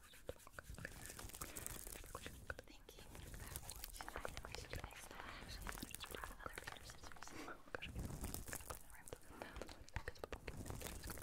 thinking about what tonight and what to do next time. Actually, I'm going to grab another pair of scissors. I'm going to just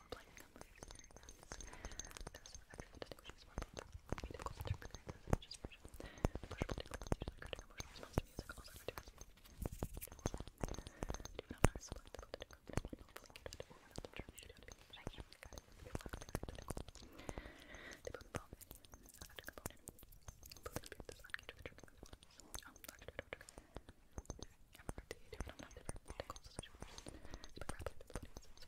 were playing on the Those were actual distinctions from musical interpretations such as Persian, Persian particular music, or response to music, also referred to as Do not select the critical, but not linked to one of the terms you don't be changed from the guidance of the critical. They both involve any other component, including being designed to the triggering ones. Oh, sorry, to the trigger. I'm referring to the two phenomenon different, the causes of which are spread rapidly to the